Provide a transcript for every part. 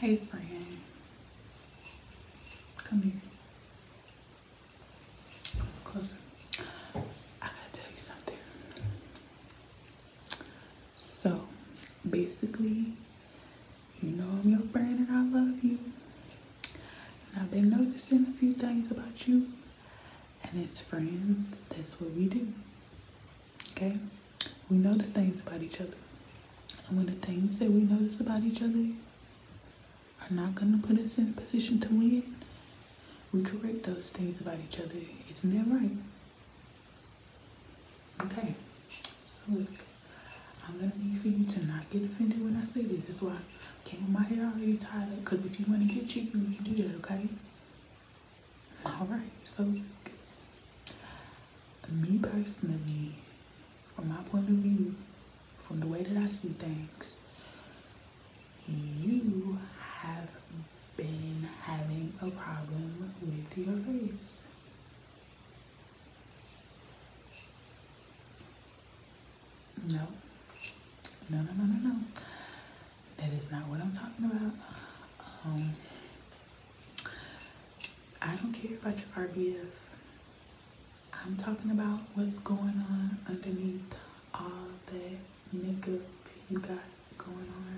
Hey, friend. Come here. Closer. I gotta tell you something. So, basically, you know I'm your friend and I love you. I've been noticing a few things about you and it's friends. That's what we do. Okay? We notice things about each other. And when the things that we notice about each other are not going to put us in a position to win, we correct those things about each other. Isn't that right? Okay. So, look. I'm going to need for you to not get offended when I say this. That's why I came with my hair already tied up. Because if you want to get cheeky, we can do that, okay? All right, so me personally, from my point of view, from the way that I see things, you have been having a problem with your face. No, no, no, no, no, That is not what I'm talking about. Um, I don't care about your RBF. I'm talking about what's going on underneath all that makeup you got going on.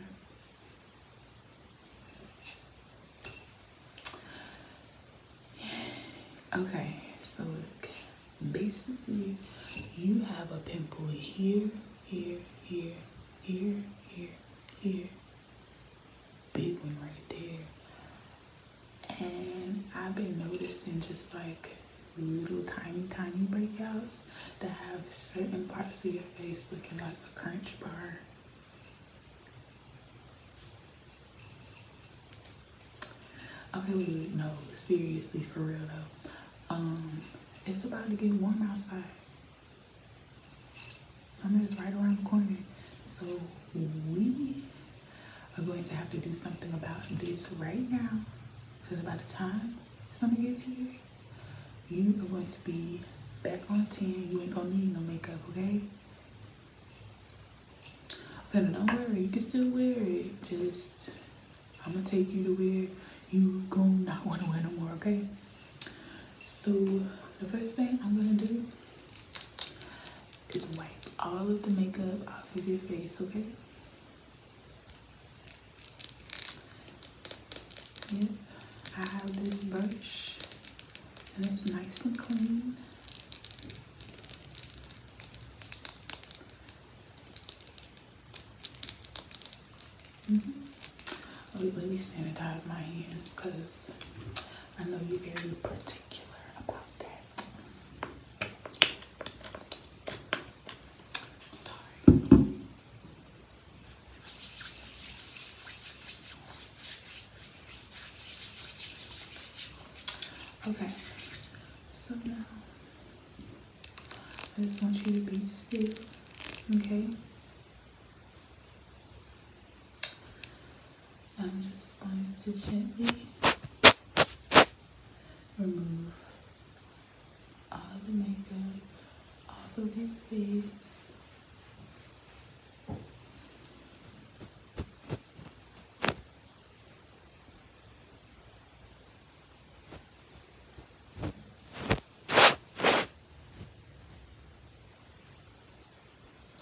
Okay, so basically you have a pimple here, here, here, here, here, here, big one right there. And I've been noticing just like little tiny, tiny breakouts that have certain parts of your face looking like a crunch bar. Okay, no, seriously, for real though. Um, it's about to get warm outside. Summer is right around the corner. So we are going to have to do something about this right now. Because by the time summer gets here, you are going to be back on 10. You ain't gonna need no makeup, okay? But don't worry, you can still wear it. Just, I'm gonna take you to where you gonna not want to wear no more, okay? So the first thing I'm gonna do is wipe all of the makeup off of your face, okay? Yeah, I have this brush and it's nice and clean. Let me sanitize my hands because I know you're very particular about that. Okay, so now I just want you to be still, okay? I'm just going to gently remove all of the makeup off of your face.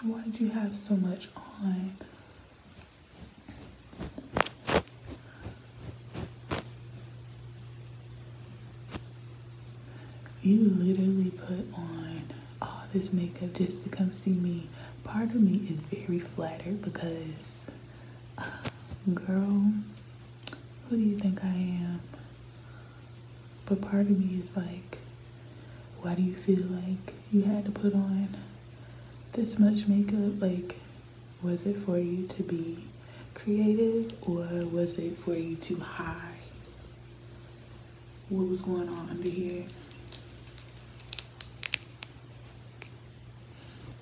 Why did you have so much on? You literally put on all this makeup just to come see me. Part of me is very flattered because, girl, who do you think I am? But part of me is like, why do you feel like you had to put on this much makeup? Like, was it for you to be creative or was it for you to hide what was going on under here?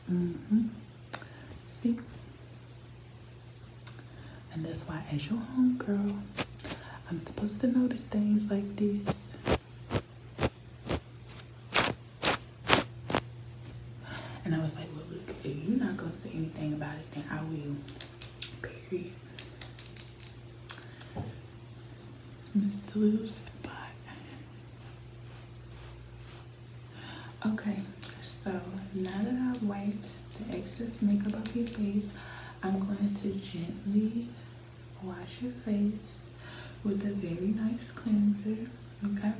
mm and that's why as your homegirl, I'm supposed to notice things like this. And I was like, well, look, if you're not going to say anything about it, then I will. Period. This little spot. Okay, so now that I've wiped the excess makeup off your face, I'm going to gently wash your face with a very nice cleanser. Okay,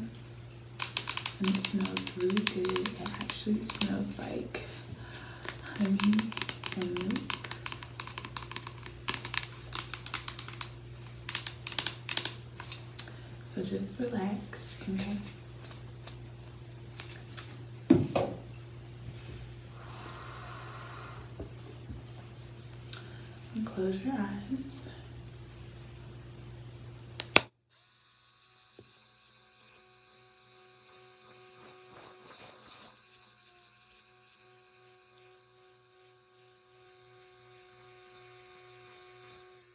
and it smells really good. It actually smells like honey and so just relax, okay? And close your eyes.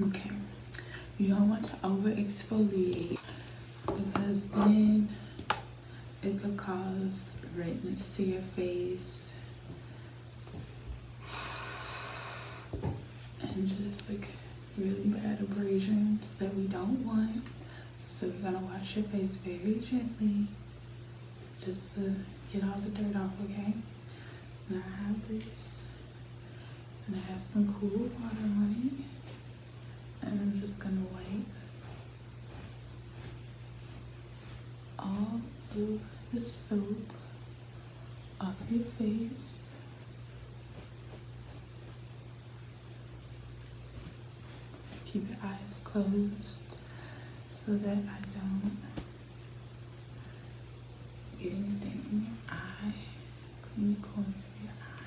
okay you don't want to over exfoliate because then it could cause redness to your face and just like really bad abrasions that we don't want. So you're gonna wash your face very gently just to get all the dirt off, okay? So now I have this and I have some cool water on it and I'm just gonna wipe all of the soap off your face Keep your eyes closed so that I don't get anything in your eye. Clean the corner of your eyes.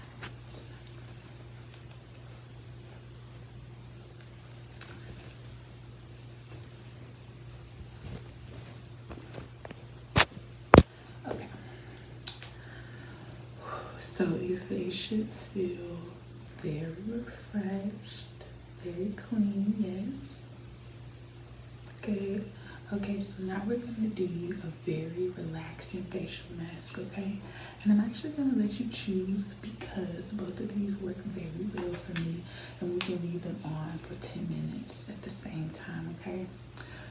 Okay. So your face should feel very refreshed, very clean, yes. Okay. Okay, so now we're going to do a very relaxing facial mask, okay? And I'm actually going to let you choose because both of these work very well for me. And we can leave them on for 10 minutes at the same time, okay?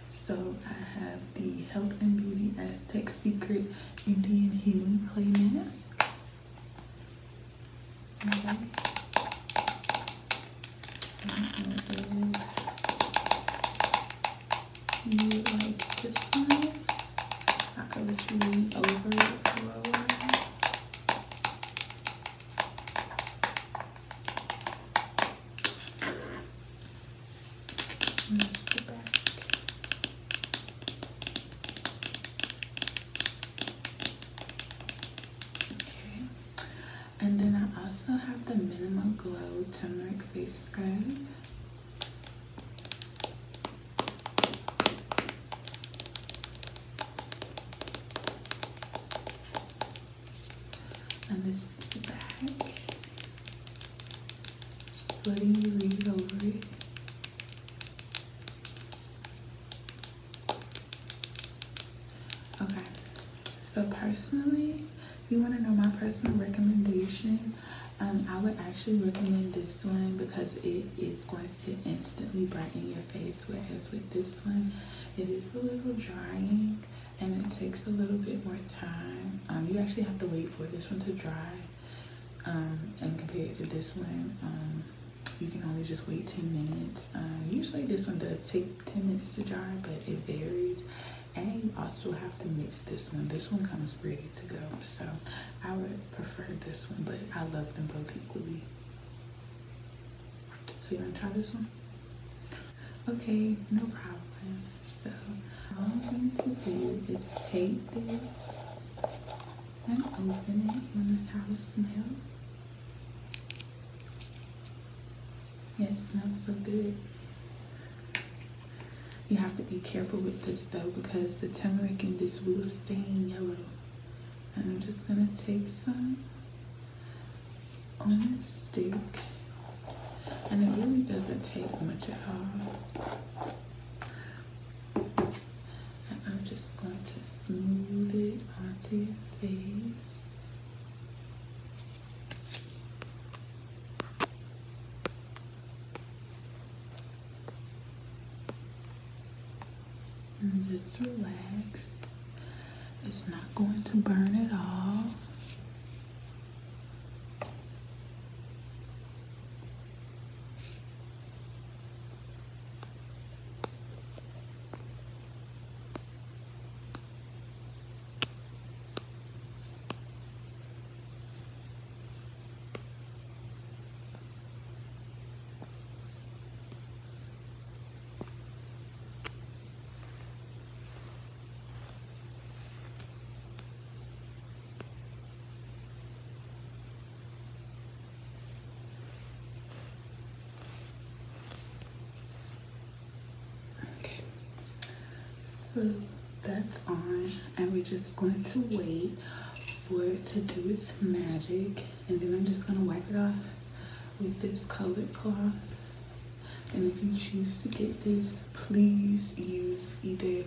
So I have the Health and Beauty Aztec Secret Indian Healing Clay Mask. you like this one, I could let you lean over and then I also have the Minimal Glow Tumeric Face Scrub. And this is the back. Just letting you read over it. Okay, so personally, if you want to know my personal recommendation, um, I would actually recommend this one because it is going to instantly brighten your face. Whereas with this one, it is a little drying, and it takes a little bit more time. Um, you actually have to wait for this one to dry um, and compared to this one. Um, you can only just wait 10 minutes. Um, usually this one does take 10 minutes to dry, but it varies. And you also have to mix this one. This one comes ready to go. So I would prefer this one, but I love them both equally. So you want to try this one? Okay, no problem. So all I'm going to do is take this and open it. You want to have a smell? Yeah, it smells so good. You have to be careful with this though because the turmeric in this will stain yellow. And I'm just gonna take some on the stick and it really doesn't take much at all and I'm just going to smooth it onto your face and just relax it's not going to burn at all. Okay, so that's on, and we're just going to wait for it to do its magic and then I'm just gonna wipe it off with this colored cloth and if you choose to get this please use either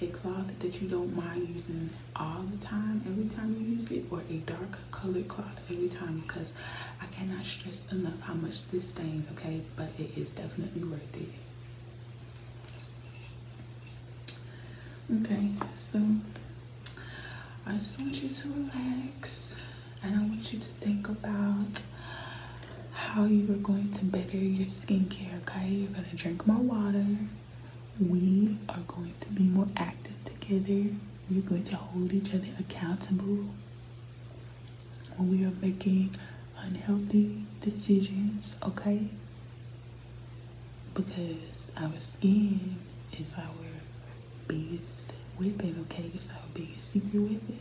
a cloth that you don't mind using all the time every time you use it or a dark colored cloth every time because I cannot stress enough how much this stains okay but it is definitely worth it okay so I just want you to relax and I want you to think about how you are going to better your skincare, okay? You're going to drink more water. We are going to be more active together. We're going to hold each other accountable when we are making unhealthy decisions, okay? Because our skin is our biggest with it, okay? It's our biggest secret with it.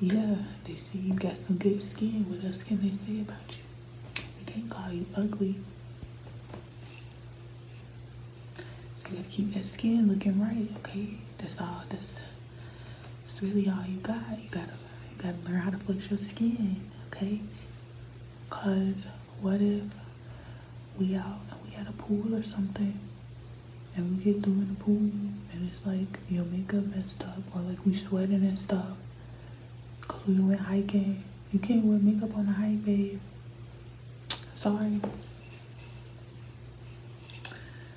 Yeah, they see you got some good skin. What else can they say about you? They can't call you ugly. You gotta keep that skin looking right, okay? That's all. That's that's really all you got. You gotta you gotta learn how to flex your skin, okay? Cause what if we out and we had a pool or something and we get doing the pool and it's like your makeup messed up or like we sweating and stuff because we went hiking. You can't wear makeup on the hike, babe. Sorry.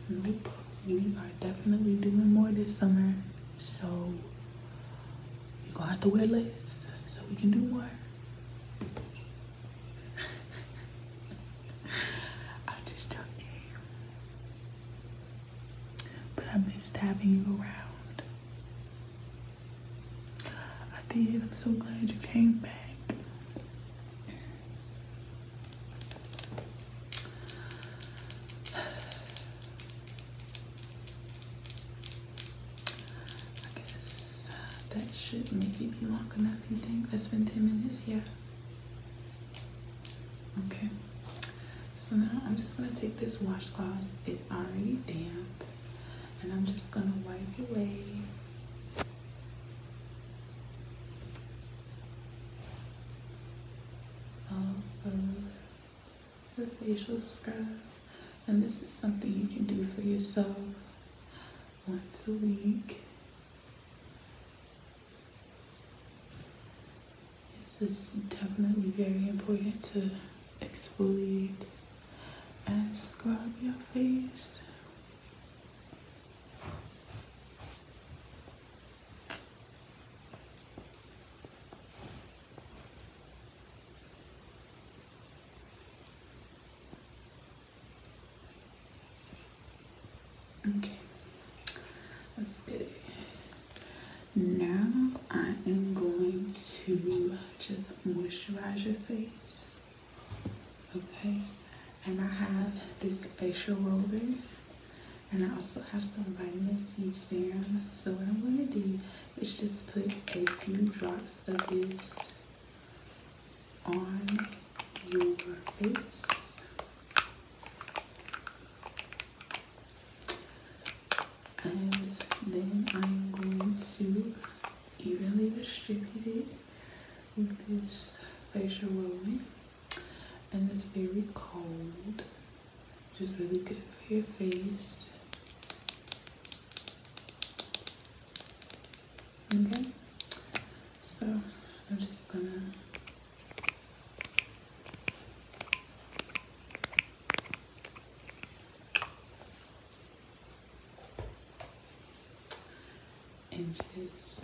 Nope. We are definitely doing more this summer. So you're gonna have to wear less so we can do more. I'm just joking. But I missed having you around. I did. I'm so glad you came back. I guess uh, that should maybe be long enough, you think? That's been 10 minutes, yeah. Okay, so now I'm just gonna take this washcloth, it's already damp, and I'm just gonna wipe away. All of the facial scrub. And this is something you can do for yourself once a week. This is definitely very important to exfoliate and scrub your face. Okay, that's Now I am going to just moisturize your face. Okay, and I have this facial roller and I also have some vitamin C serum. So what I'm going to do is just put a few drops of this on your face. And then I'm going to evenly distribute it with this facial rolling. And it's very cold, which is really good for your face. Okay, so I'm just gonna inches.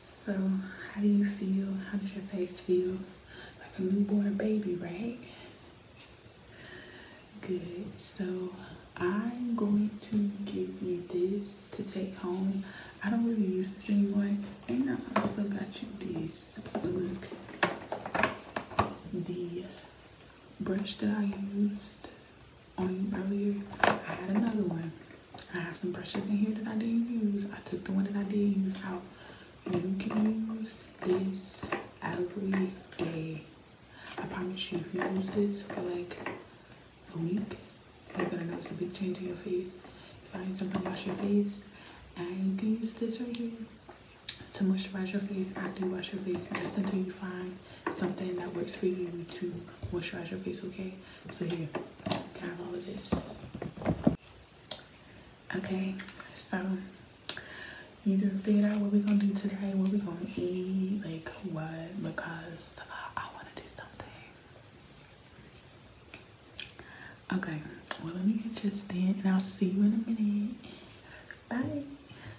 So, how do you feel? How does your face feel? Like a newborn baby, right? Good. So, I'm going to give you this to take home. I don't really use this anymore. And I also got you this. look, the brush that I used on um, earlier, I had another one. I have some brushes in here that I didn't use. I took the one that I did use out. You can use this every day. I promise you, if you use this for like a week, you're gonna notice a big change in your face. If I need something to wash your face, and you can use this right here to moisturize your face after you wash your face, just until you find something that works for you to moisturize your face, okay? So here, have all of this. Okay, so you gonna figure out what we're gonna do today, what we're gonna eat, like what, because I wanna do something. Okay, well let me get just in and I'll see you in a minute. Bye.